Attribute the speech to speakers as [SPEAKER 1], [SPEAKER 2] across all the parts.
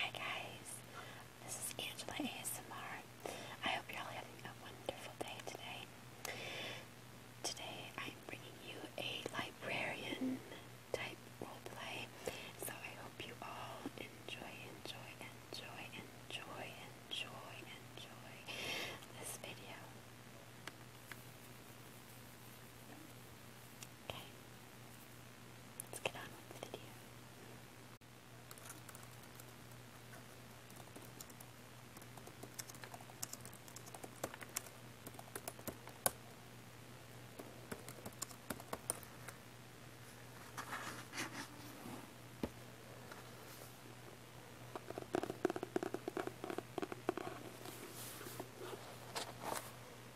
[SPEAKER 1] Hi guys, this is Angela ASMR. I hope you're all having a wonderful day today. Today I'm bringing you a librarian type roleplay, so I hope you all enjoy, enjoy, enjoy, enjoy, enjoy, enjoy this video. Okay let's get on with the video.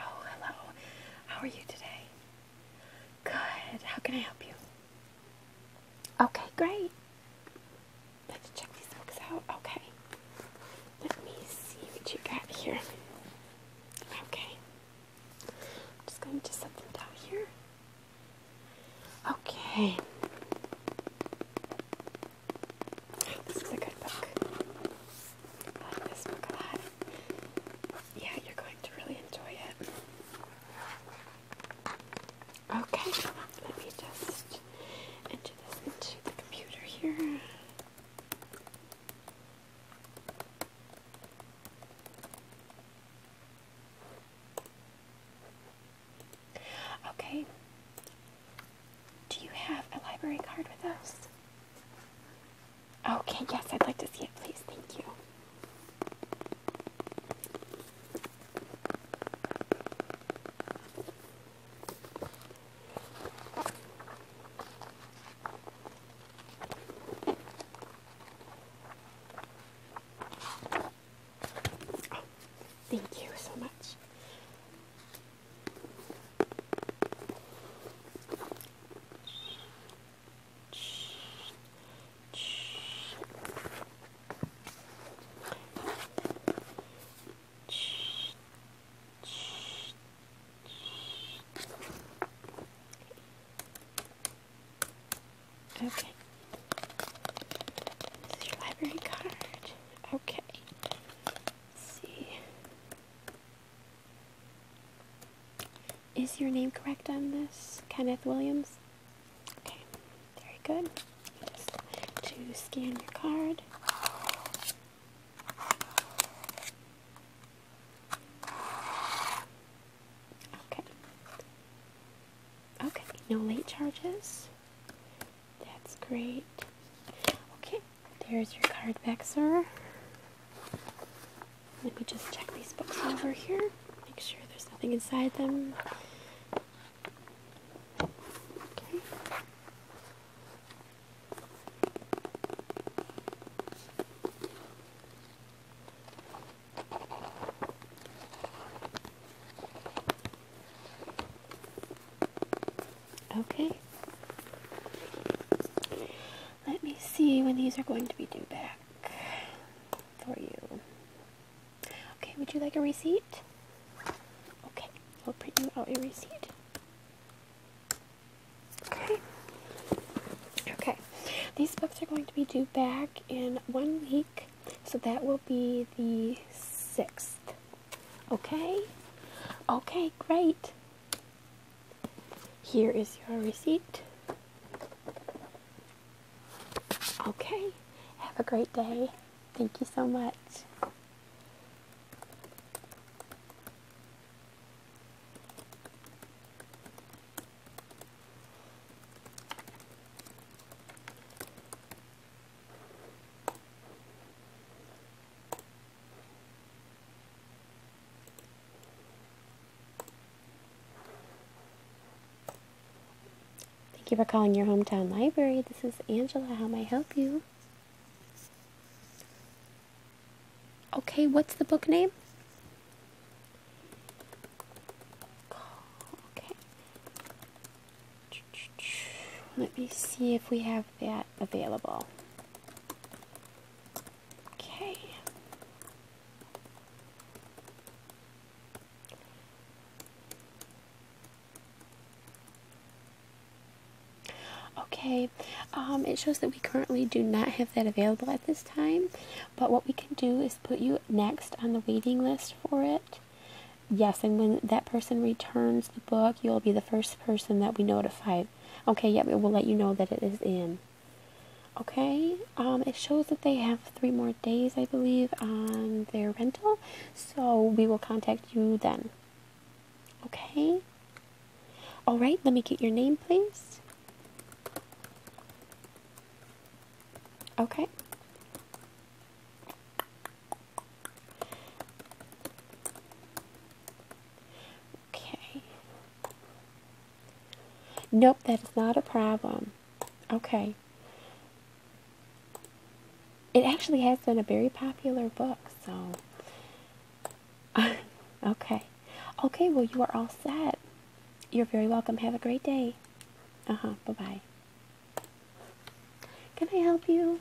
[SPEAKER 1] Oh, hello. How are you today? Good. How can I help you? Okay, great. Let's check these books out. Okay. Let me see what you got here. Okay. just going to set them down here. Okay. This is a good book. I like this book a lot. Yeah, you're going to really enjoy it. Okay, let me just enter this into the computer here. Okay. Do you have a library card with us? Okay, yes, I'd like to see it, please. Thank you. Oh, thank you so much. Okay. This is your library card. Okay. see. Is your name correct on this? Kenneth Williams? Okay, very good. to scan your card. Okay. Okay, no late charges. That's great. Okay, there's your card back, sir. Let me just check these books over here, make sure there's nothing inside them. Okay. Okay. Let me see when these are going to be due back for you. Okay, would you like a receipt? Okay, I'll print you out a receipt. Okay. Okay. These books are going to be due back in one week, so that will be the 6th. Okay? Okay, great. Here is your receipt. Okay, have a great day. Thank you so much. Thank you for calling your hometown library. This is Angela. How may I help you? Okay, what's the book name? Okay. Let me see if we have that available. Okay. Okay, um, it shows that we currently do not have that available at this time, but what we can do is put you next on the waiting list for it. Yes, and when that person returns the book, you'll be the first person that we notify. Okay, yep, We will let you know that it is in. Okay, um, it shows that they have three more days, I believe, on their rental, so we will contact you then. Okay, all right, let me get your name, please. Okay. Okay. Nope, that's not a problem. Okay. It actually has been a very popular book, so. okay. Okay, well, you are all set. You're very welcome. Have a great day. Uh huh. Bye bye. Can I help you?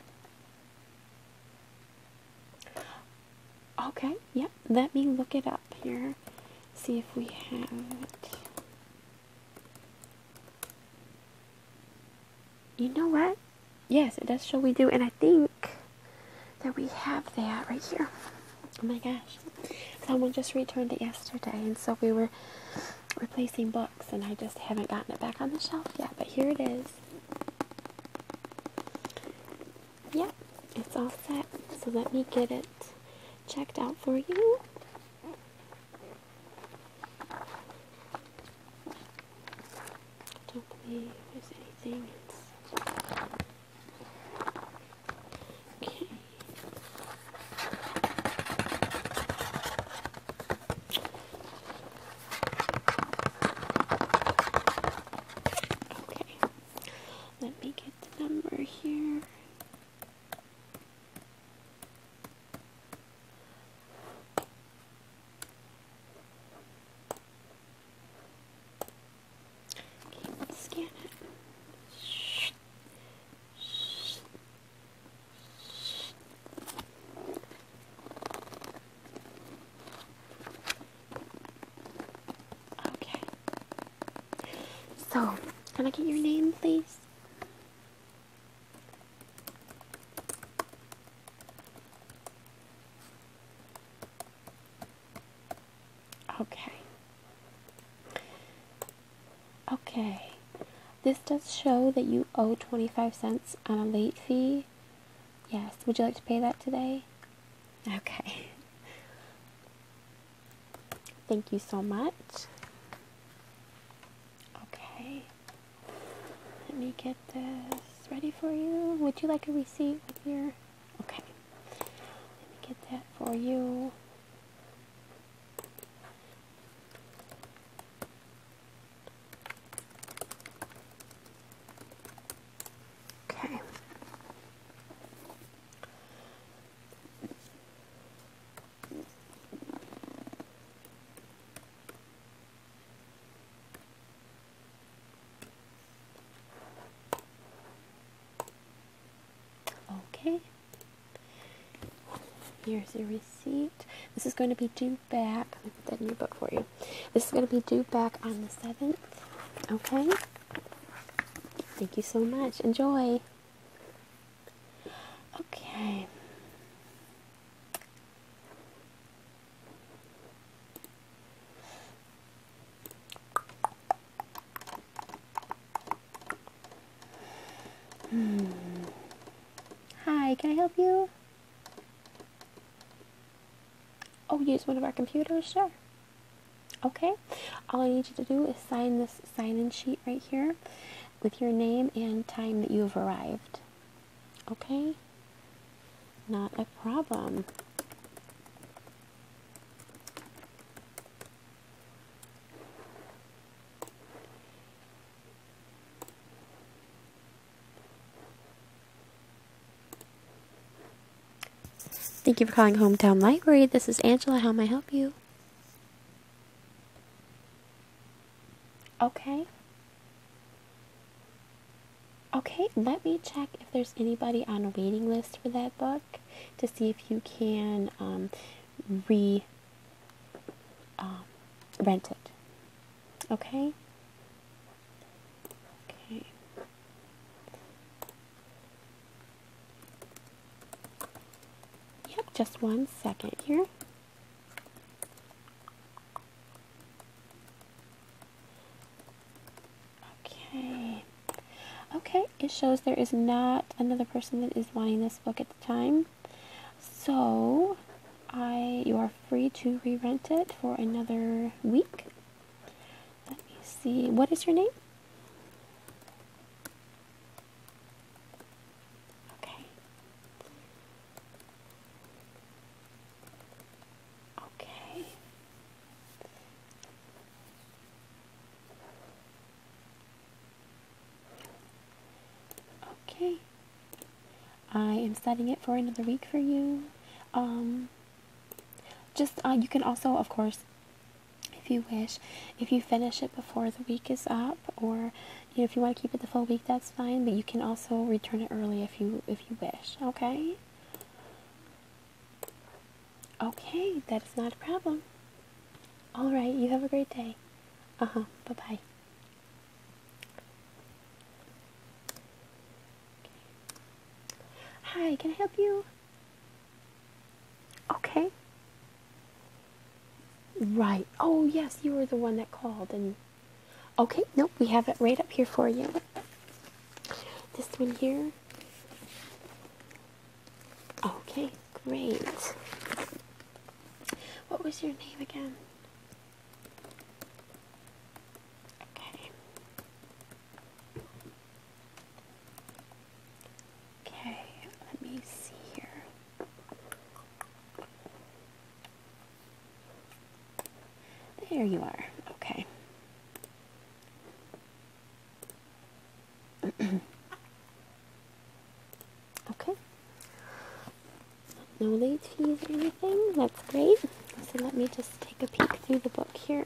[SPEAKER 1] Okay, yep, let me look it up here. See if we have it. You know what? Yes, it does show we do, and I think that we have that right here. Oh my gosh. Someone just returned it yesterday, and so we were replacing books, and I just haven't gotten it back on the shelf yet, but here it is. Yep, yeah, it's all set. So let me get it checked out for you. don't believe there's anything. Okay. Okay. Let me get the number here. scan it. Shh. Shh. Shh. Okay. So, can I get your name, please? Okay. Okay. This does show that you owe 25 cents on a late fee. Yes. Would you like to pay that today? Okay. Thank you so much. Okay. Let me get this ready for you. Would you like a receipt with your... Okay. Let me get that for you. Okay. Okay. Here's your receipt. This is going to be due back. Let me put that in your book for you. This is going to be due back on the 7th. Okay? Thank you so much. Enjoy. Okay. Hmm. Hi, can I help you? Oh, use one of our computers? Sure. Okay. All I need you to do is sign this sign in sheet right here with your name and time that you have arrived. Okay? Not a problem. Thank you for calling Hometown Library. This is Angela. How may I help you? Okay. Okay, let me check if there's anybody on a waiting list for that book to see if you can um, re um, rent it. Okay? Okay. Yep, just one second here. Okay. Okay, it shows there is not another person that is wanting this book at the time. So, I you are free to re-rent it for another week. Let me see. What is your name? Okay. Okay. Okay. I am setting it for another week for you. Um just uh, you can also, of course, if you wish, if you finish it before the week is up, or if you want to keep it the full week, that's fine. But you can also return it early if you if you wish. Okay. Okay, that is not a problem. All right, you have a great day. Uh huh. Bye bye. Hi, can I help you? Okay. Right. Oh, yes, you were the one that called. And okay, nope, we have it right up here for you. This one here. Okay, great. What was your name again? Okay. Okay, let me see here. There you are. Okay. okay. No late fees or anything. That's great. So let me just take a peek through the book here.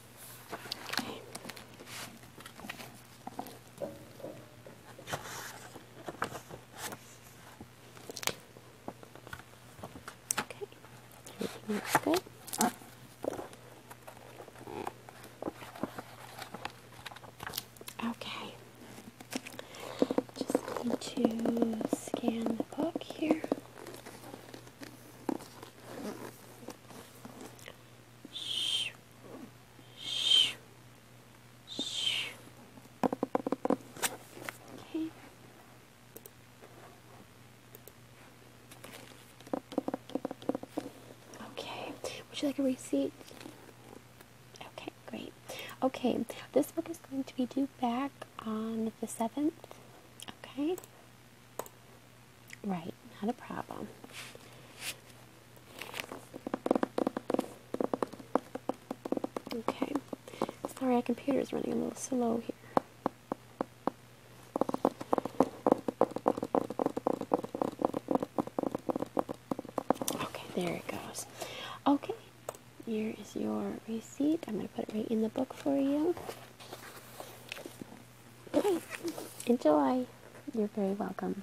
[SPEAKER 1] Okay. Okay. Everything looks good. Okay. Just need to scan the book here. Shh. Okay. Okay. Would you like a receipt? Okay, great. Okay, this book is going to be due back on the 7th. Okay. Right, not a problem. Okay. Sorry, our is running a little slow here. Okay, there it goes. Okay, here is your receipt. I'm going to put it right in the book for you. Enjoy. You're very welcome.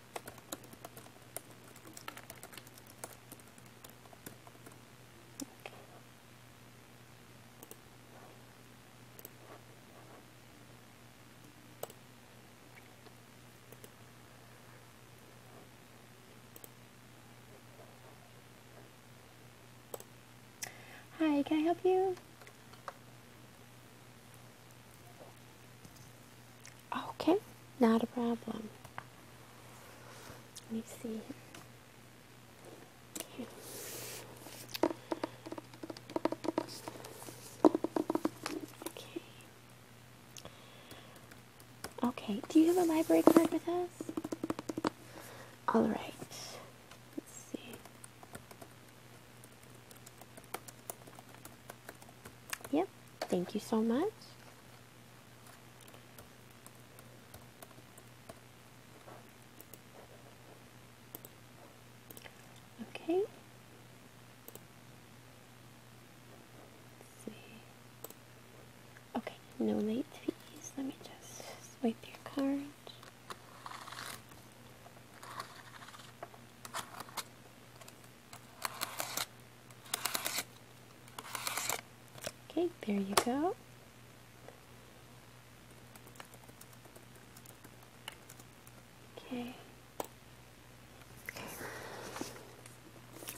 [SPEAKER 1] Hi, can I help you? Okay, not a problem. Let me see. Okay. Okay, do you have a library card with us? Alright. Let's see. Yep, thank you so much. Okay. Let's see. Okay, no late fees. Let me just swipe your card. Okay, there you go. Okay. Okay.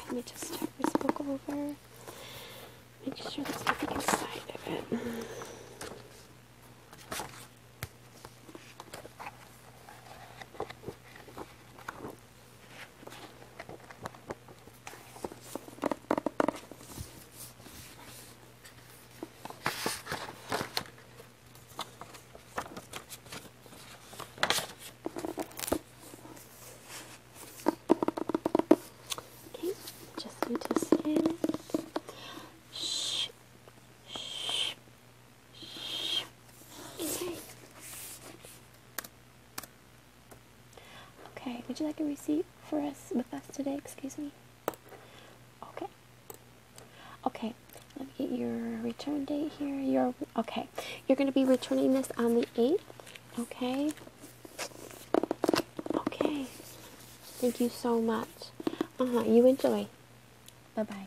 [SPEAKER 1] Let me just turn this book over. Make sure there's nothing inside of it. Okay, just need to scan it. Shh. Shh. Okay, would you like a receipt for us with us today? Excuse me. Okay. Okay, let me get your return date here. Your okay. You're gonna be returning this on the eighth. Okay. Okay. Thank you so much. Uh huh. You enjoy. Bye bye.